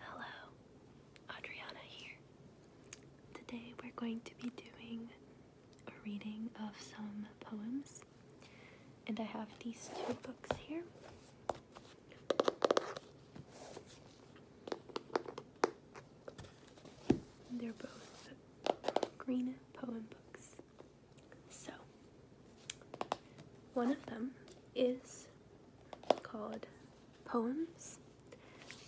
Hello, Adriana here. Today we're going to be doing a reading of some poems, and I have these two books here. They're both green poem books. So, one of them is called Poems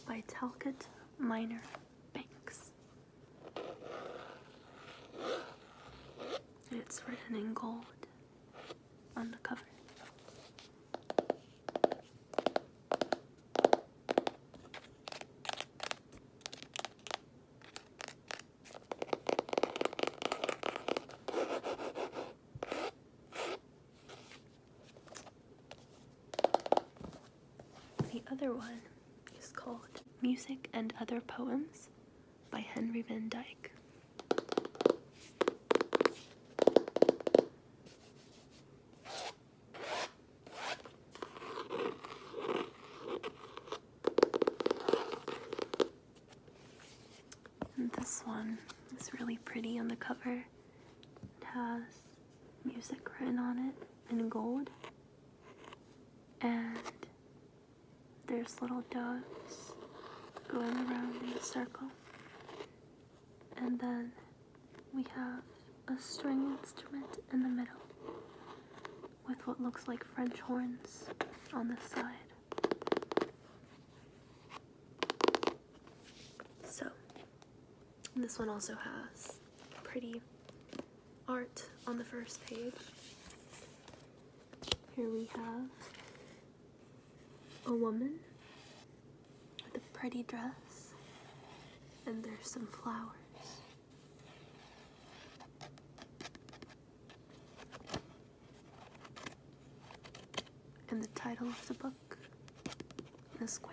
by Talcott Minor Banks. it's written in gold on the cover. The other one is called Music and Other Poems by Henry Van Dyke this one is really pretty on the cover. It has music written on it in gold. And there's little doves going around in a circle. And then we have a string instrument in the middle with what looks like French horns on the side. So, this one also has pretty art on the first page. Here we have a woman with a pretty dress, and there's some flowers. And the title of the book The Square.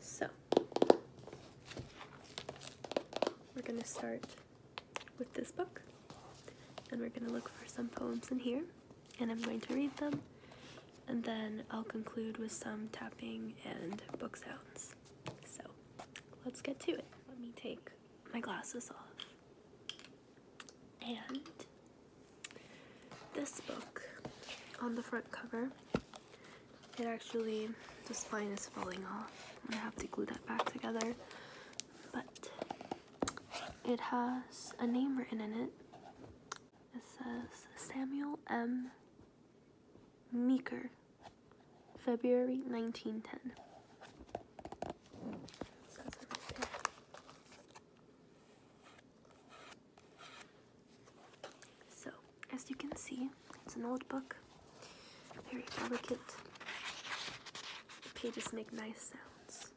So, we're going to start with this book, and we're going to look for some poems in here, and I'm going to read them, and then I'll conclude with some tapping and book sounds. So let's get to it. Let me take my glasses off. And this book on the front cover, it actually, the spine is falling off. I'm gonna have to glue that back together. But it has a name written in it. It says Samuel M. Meeker, February 1910. So, as you can see, it's an old book, very delicate. The pages make nice sounds.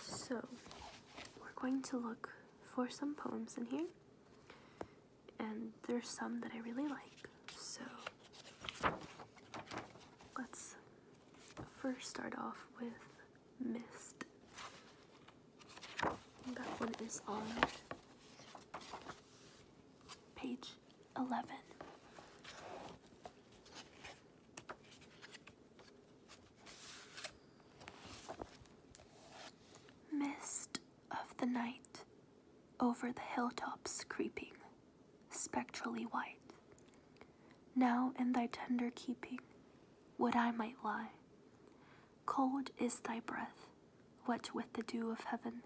So, we're going to look for some poems in here. And there's some that I really like. So let's first start off with Mist. that one is on page 11. Mist of the night, over the hilltops creeping, spectrally white. Now in thy tender keeping, would I might lie. Cold is thy breath, wet with the dew of heaven,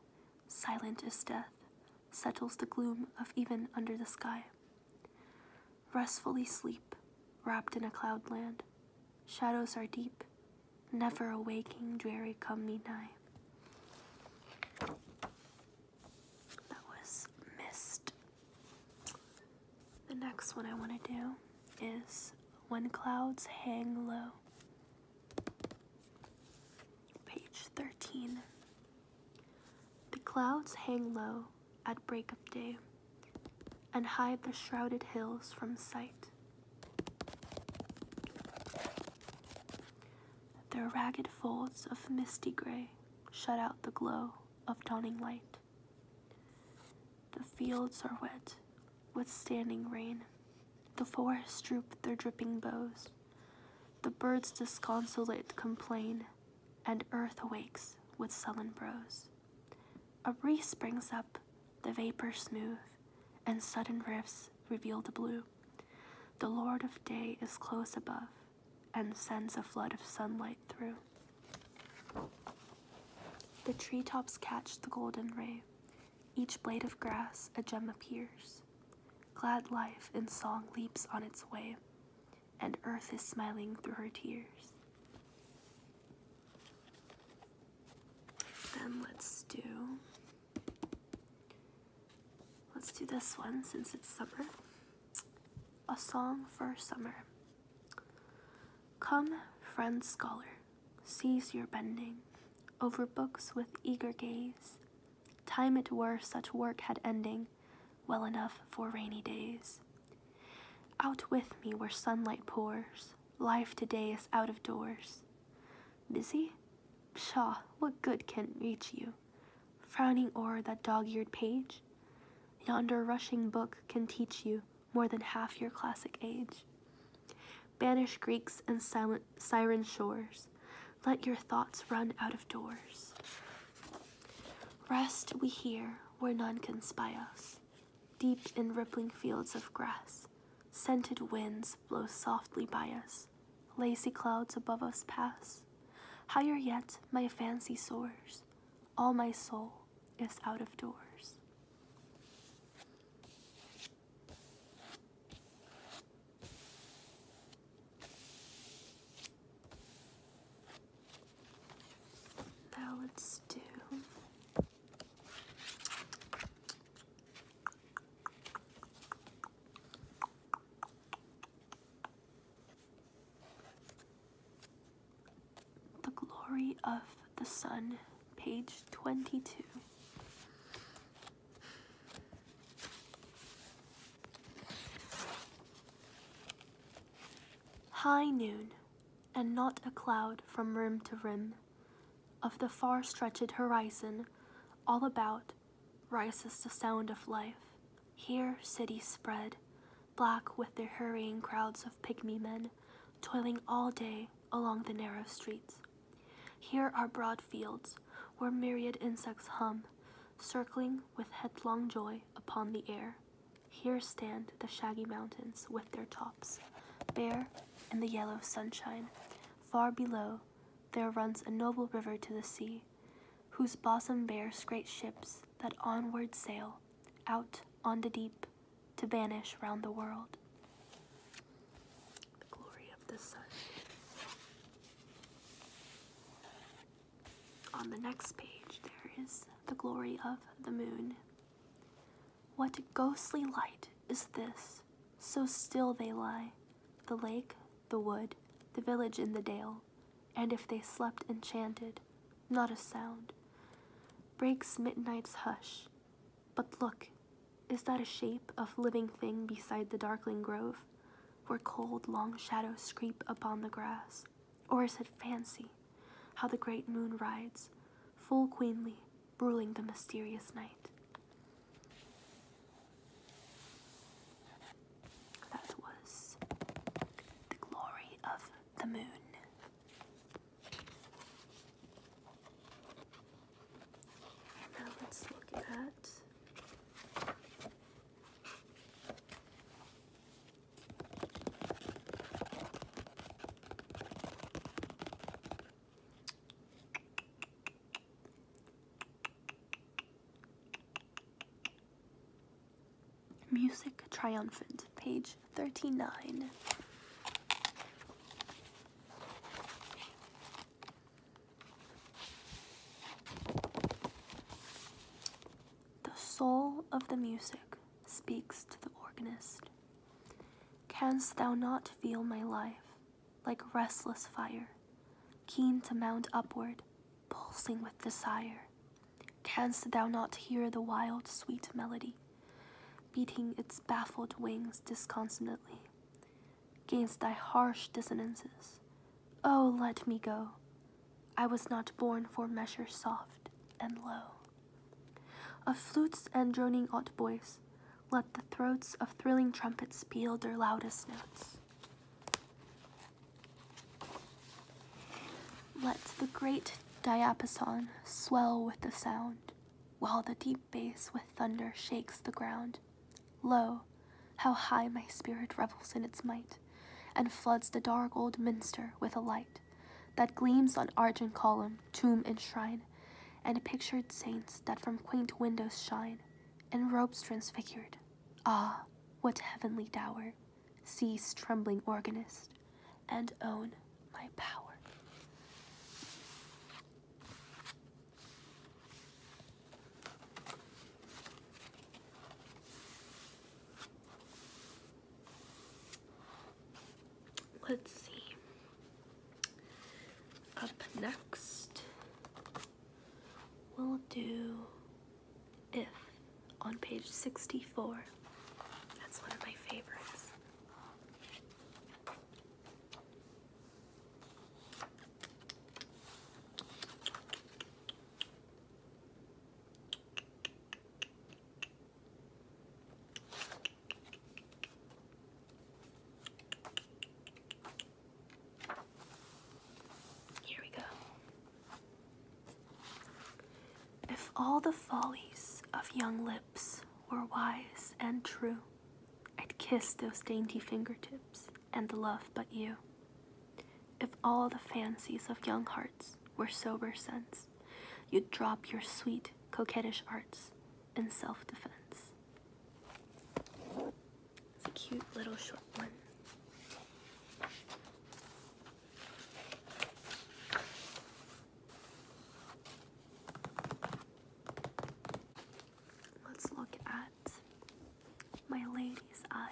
silent is death, settles the gloom of even under the sky. Restfully sleep, wrapped in a cloudland. shadows are deep, never awaking dreary come midnight. That was missed. The next one I want to do is When Clouds Hang Low, page 13. The clouds hang low at break of day and hide the shrouded hills from sight. Their ragged folds of misty gray shut out the glow of dawning light. The fields are wet with standing rain. The forests droop their dripping boughs. The birds disconsolate complain, and earth awakes with sullen brows. A breeze springs up, the vapors smooth, and sudden rifts reveal the blue. The Lord of day is close above, and sends a flood of sunlight through. The tree tops catch the golden ray, each blade of grass a gem appears. Glad life in song leaps on its way, and earth is smiling through her tears. Then let's do let's do this one since it's summer. A song for summer. Come, friend scholar, cease your bending over books with eager gaze. Time it were such work had ending, well enough for rainy days. Out with me where sunlight pours, Life today is out of doors. Busy? Pshaw, what good can reach you? Frowning o'er that dog eared page? Yonder rushing book can teach you more than half your classic age. Banish Greeks and silent siren shores. Let your thoughts run out of doors. Rest we here where none can spy us. Deep in rippling fields of grass, scented winds blow softly by us, lazy clouds above us pass. Higher yet, my fancy soars, all my soul is out of doors. Now let's do. The Glory of the Sun, page 22. High noon and not a cloud from rim to rim of the far stretched horizon, all about rises the sound of life. Here cities spread, black with their hurrying crowds of pygmy men, toiling all day along the narrow streets. Here are broad fields where myriad insects hum, circling with headlong joy upon the air. Here stand the shaggy mountains with their tops, bare in the yellow sunshine. Far below, there runs a noble river to the sea, whose bosom bears great ships that onward sail, out on the deep, to vanish round the world. The glory of the sun. On the next page, there is the glory of the moon. What ghostly light is this? So still they lie, the lake, the wood, the village in the dale, and if they slept enchanted, not a sound. Breaks midnight's hush. But look, is that a shape of living thing beside the darkling grove, where cold long shadows creep upon the grass? Or is it fancy, how the great moon rides, full queenly, ruling the mysterious night? That was the glory of the moon. Now let's look at Music Triumphant, page 39. The soul of the music speaks to the organist. Canst thou not feel my life like restless fire, keen to mount upward, pulsing with desire? Canst thou not hear the wild, sweet melody, beating its baffled wings disconsolately? Gainst thy harsh dissonances, oh, let me go, I was not born for measures soft and low. Of flutes and droning odd boys, let the throats of thrilling trumpets peal their loudest notes. Let the great diapason swell with the sound, while the deep bass with thunder shakes the ground. Lo, how high my spirit revels in its might, and floods the dark old minster with a light that gleams on arch and column, tomb and shrine, and pictured saints that from quaint windows shine, in robes transfigured. Ah, what heavenly dower! Cease, trembling organist, and own my power. Let's see. Up next, we'll do if on page 64. That's one of my favorites. Here we go. If all the follies of young lips were wise and true, I'd kiss those dainty fingertips and love but you. If all the fancies of young hearts were sober sense, You'd drop your sweet, coquettish arts in self defense. It's a cute little short one. Let's look at my lady's eyes.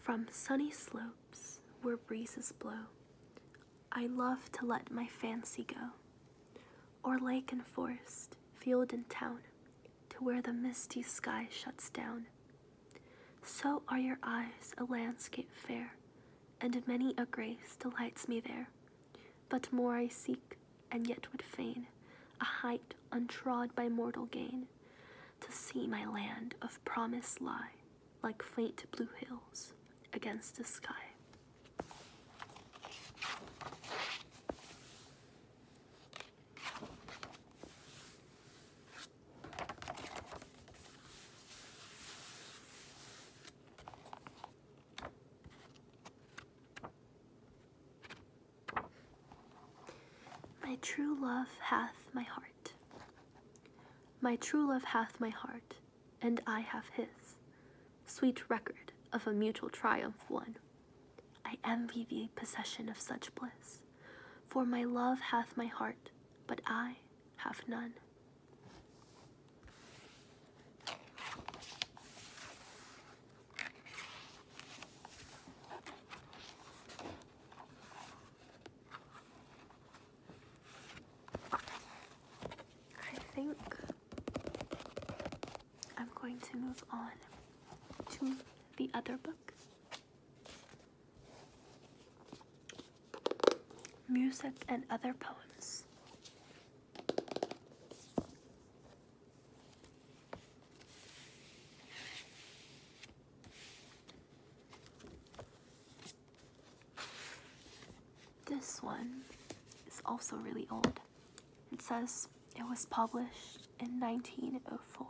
From sunny slopes where breezes blow, I love to let my fancy go, or lake and forest, field and town, to where the misty sky shuts down. So are your eyes a landscape fair, and many a grace delights me there. But more I seek, and yet would fain, a height untrod by mortal gain, to see my land of promise lie like faint blue hills against the sky. My true love hath my heart. My true love hath my heart, and I have his. Sweet record of a mutual triumph won. I envy thee possession of such bliss, for my love hath my heart, but I have none. I think I'm going to move on to the other book. Music and Other Poems. This one is also really old. It says it was published in 1904.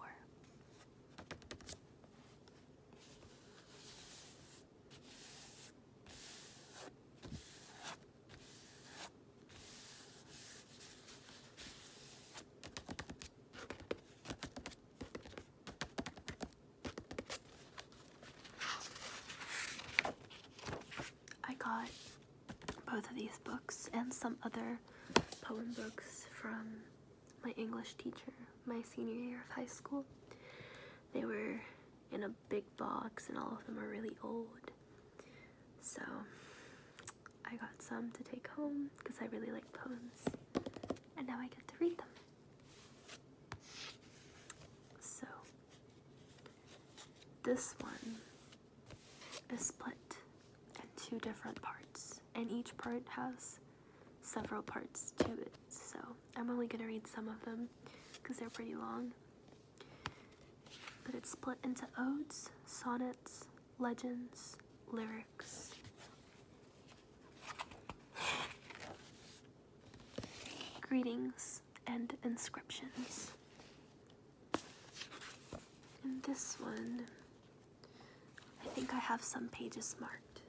I got both of these books and some other poem books from my English teacher my senior year of high school. They were in a big box and all of them are really old. So I got some to take home because I really like poems, and now I get to read them. So, this one is split in two different parts, and each part has several parts to it. So, I'm only going to read some of them because they're pretty long. But it's split into odes, sonnets, legends, lyrics. Greetings and inscriptions. In this one, I think I have some pages marked.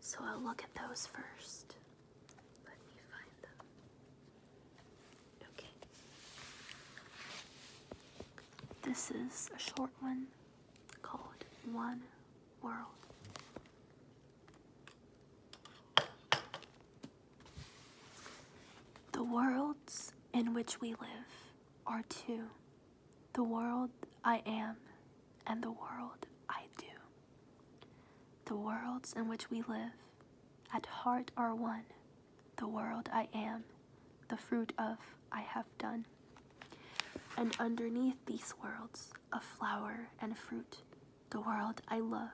So I'll look at those first. Let me find them. Okay. This is a short one called One World. The worlds in which we live are two the world I am and the world I do. The worlds in which we live at heart are one, the world I am, the fruit of I have done. And underneath these worlds, a flower and fruit, the world I love,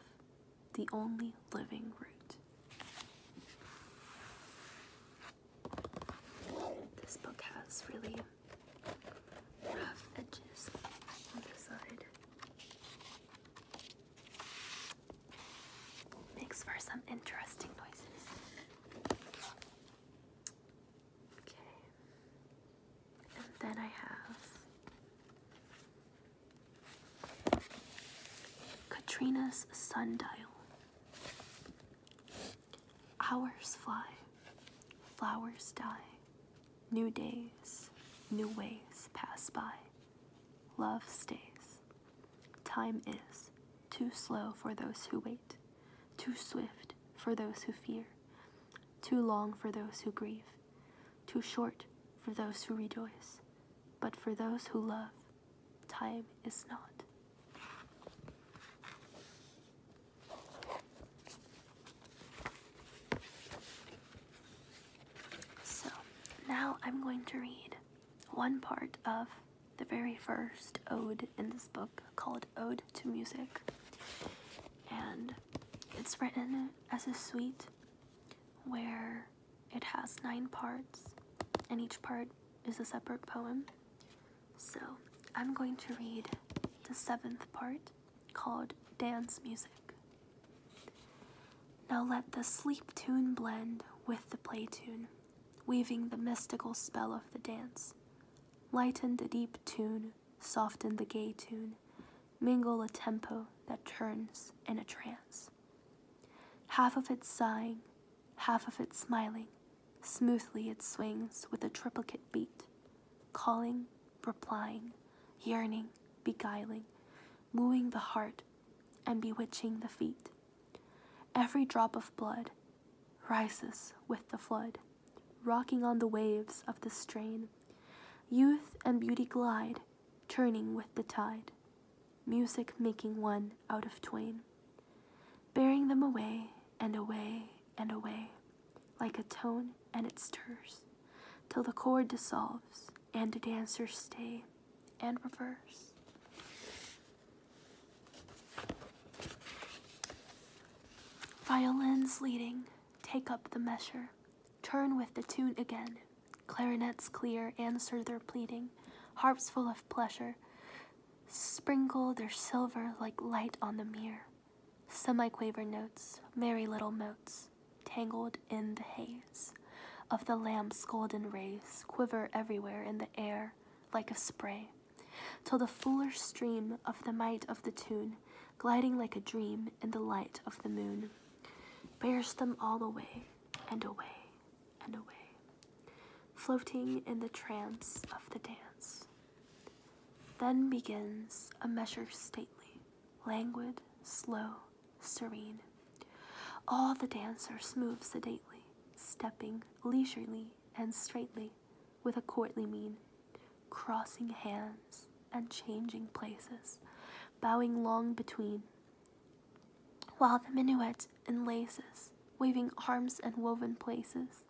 the only living root. This book has really rough edges on the side. Makes for some interesting noises. Okay. And then I have Katrina's sundial. Hours fly, flowers die, new days, new ways pass by. Love stays, time is, too slow for those who wait, too swift for those who fear, too long for those who grieve, too short for those who rejoice, but for those who love, time is not. So now I'm going to read one part of the very first ode in this book called Ode to Music. And it's written as a suite where it has nine parts, and each part is a separate poem. So I'm going to read the seventh part called Dance Music. Now let the sleep tune blend with the play tune weaving the mystical spell of the dance. Lighten the deep tune, soften the gay tune, mingle a tempo that turns in a trance. Half of it sighing, half of it smiling, smoothly it swings with a triplicate beat, calling, replying, yearning, beguiling, wooing the heart and bewitching the feet. Every drop of blood rises with the flood, rocking on the waves of the strain. Youth and beauty glide, turning with the tide, music making one out of twain, bearing them away and away and away, like a tone and it stirs, till the chord dissolves and the dancers stay and reverse. Violins leading, take up the measure, turn with the tune again. Clarinets clear answer their pleading, harps full of pleasure, sprinkle their silver like light on the mere. Semiquaver notes, merry little motes, tangled in the haze of the lamp's golden rays quiver everywhere in the air like a spray, till the foolish stream of the might of the tune, gliding like a dream in the light of the moon, bears them all away and away and away, floating in the trance of the dance. Then begins a measure stately, languid, slow, serene. All the dancers move sedately, stepping leisurely and straightly, with a courtly mien, crossing hands and changing places, bowing long between, while the minuet laces waving arms and woven places,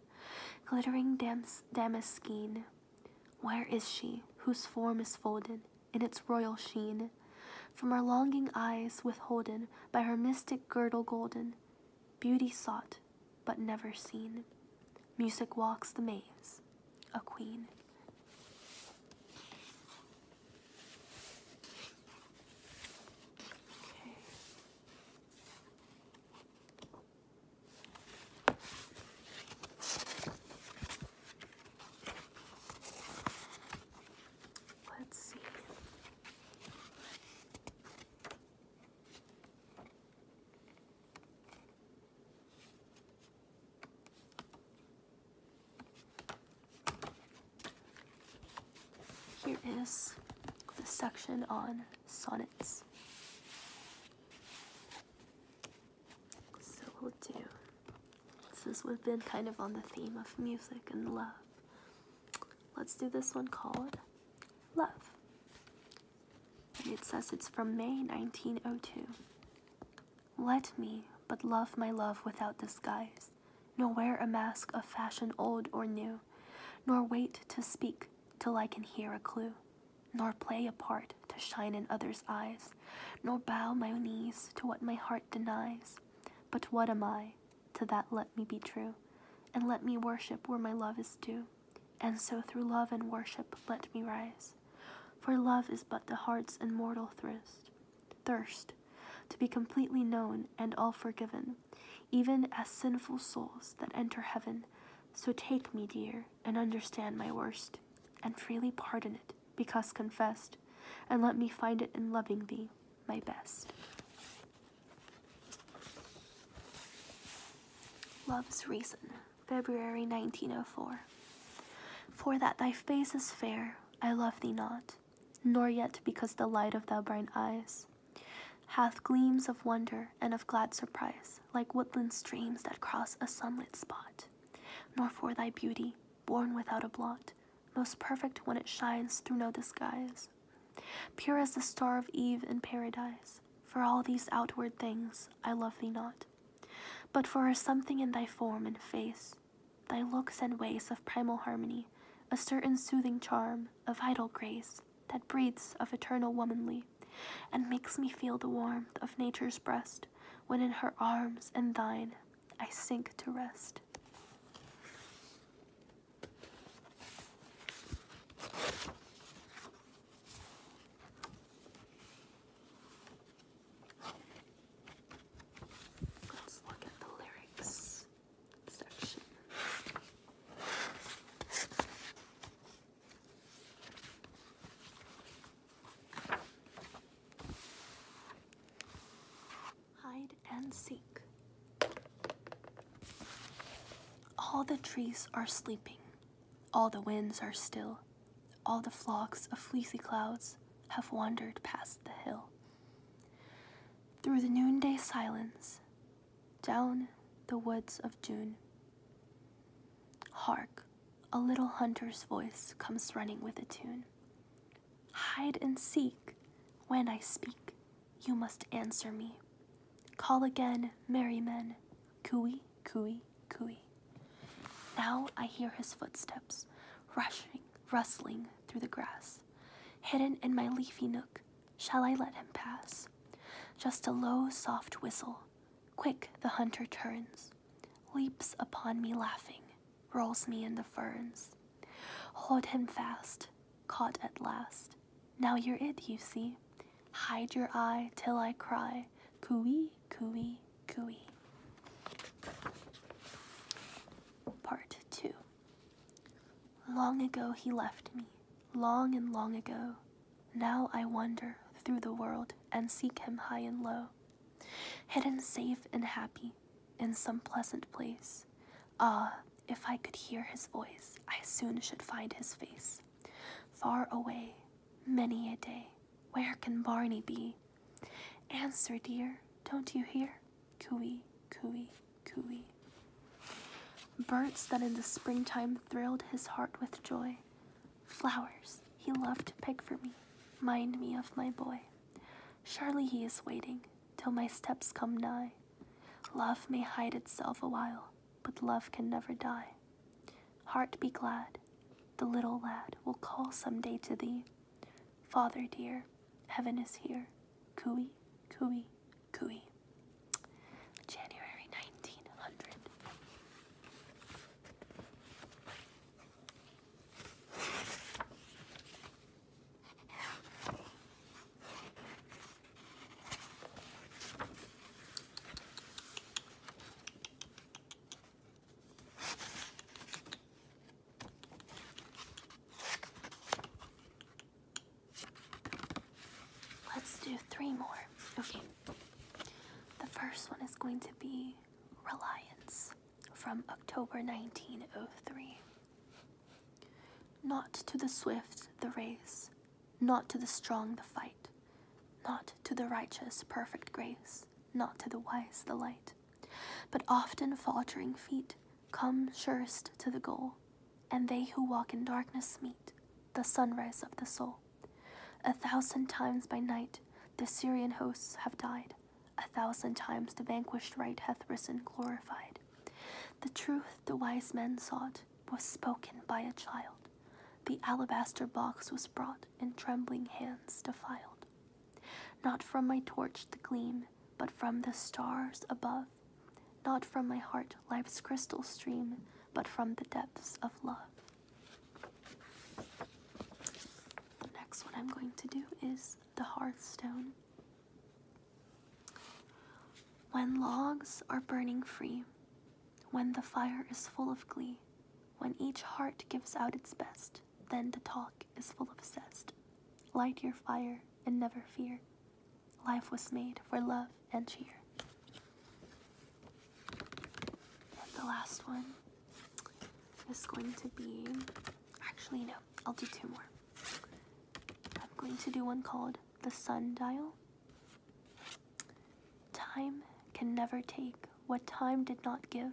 glittering dams damaskine. Where is she, whose form is folded in its royal sheen, from her longing eyes withholden by her mystic girdle golden, beauty sought but never seen. Music walks the maze, a queen. Let's see. Here is the section on sonnets. So we'll do since we've been kind of on the theme of music and love, let's do this one called Love. it says it's from May 1902. Let me but love my love without disguise, nor wear a mask of fashion old or new, nor wait to speak till I can hear a clue, nor play a part to shine in others' eyes, nor bow my knees to what my heart denies, but what am I? To that let me be true, and let me worship where my love is due. And so through love and worship let me rise. For love is but the heart's immortal thirst, thirst to be completely known and all forgiven, even as sinful souls that enter heaven. So take me, dear, and understand my worst, and freely pardon it, because confessed, and let me find it in loving thee, my best. Love's Reason, February 1904. For that thy face is fair, I love thee not, nor yet because the light of thy bright eyes hath gleams of wonder and of glad surprise, like woodland streams that cross a sunlit spot, nor for thy beauty, born without a blot, most perfect when it shines through no disguise, pure as the star of Eve in paradise. For all these outward things I love thee not, but for something in thy form and face, thy looks and ways of primal harmony, a certain soothing charm, a vital grace that breathes of eternal womanly, and makes me feel the warmth of nature's breast when in her arms and thine I sink to rest. Let's look at the lyrics section hide and seek. All the trees are sleeping, all the winds are still, all the flocks of fleecy clouds have wandered past the hill. Through the noonday silence, down the woods of June. Hark, a little hunter's voice comes running with a tune. Hide and seek. When I speak, you must answer me. Call again, merry men. Cooey, cooey, cooey. Now I hear his footsteps, rushing, rustling through the grass. Hidden in my leafy nook, shall I let him pass? Just a low, soft whistle. Quick the hunter turns, leaps upon me laughing rolls me in the ferns. Hold him fast, caught at last. Now you're it, you see. Hide your eye till I cry, cooey, cooey, cooey. Part 2 Long ago he left me, long and long ago. Now I wander through the world and seek him high and low. Hidden safe and happy, in some pleasant place. Ah, if I could hear his voice, I soon should find his face. Far away, many a day, where can Barney be? Answer, dear, don't you hear? Cooey, cooey, cooey. Birds that in the springtime thrilled his heart with joy. Flowers he loved to pick for me, mind me of my boy. Surely he is waiting till my steps come nigh. Love may hide itself awhile, but love can never die. Heart be glad, the little lad will call some day to thee. Father dear, heaven is here. Cooey, cooey, cooey. January 1900. Let's do three more. Okay. The first one is going to be reliance from October 1903. Not to the swift the race, not to the strong the fight, not to the righteous perfect grace, not to the wise the light, but often faltering feet come surest to the goal, and they who walk in darkness meet the sunrise of the soul. A thousand times by night the Syrian hosts have died, a thousand times the vanquished right hath risen glorified. The truth the wise men sought was spoken by a child. The alabaster box was brought, in trembling hands defiled. Not from my torch the gleam, but from the stars above. Not from my heart life's crystal stream, but from the depths of love. The next one I'm going to do is the hearthstone. When logs are burning free, when the fire is full of glee, when each heart gives out its best, then the talk is full of zest. Light your fire and never fear. Life was made for love and cheer. the last one it's going to be. Actually, no, I'll do two more. I'm going to do one called The Sundial. Time can never take what time did not give.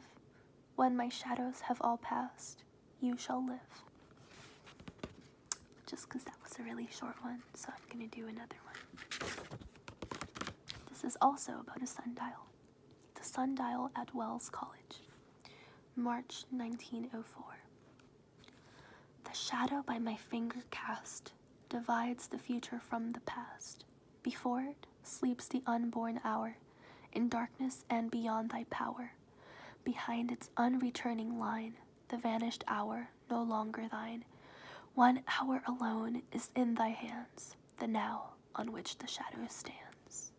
When my shadows have all passed, you shall live. Just because that was a really short one, so I'm going to do another one. This is also about a sundial. The Sundial at Wells College, March 1904. The shadow by my finger cast divides the future from the past. Before it sleeps the unborn hour, in darkness and beyond thy power. Behind its unreturning line, the vanished hour no longer thine. One hour alone is in thy hands the now on which the shadow stands.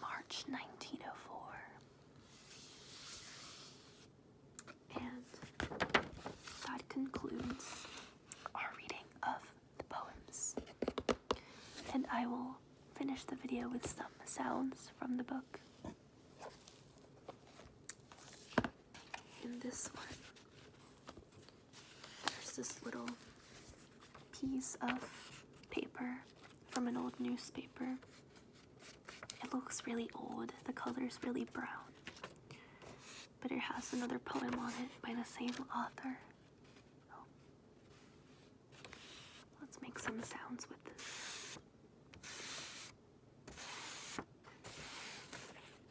March 1904. And that concludes our reading of the poems. And I will finish the video with some sounds from the book. In this one, there's this little piece of paper from an old newspaper. It looks really old, the color's really brown, but it has another poem on it by the same author. Oh. Let's make some sounds with this.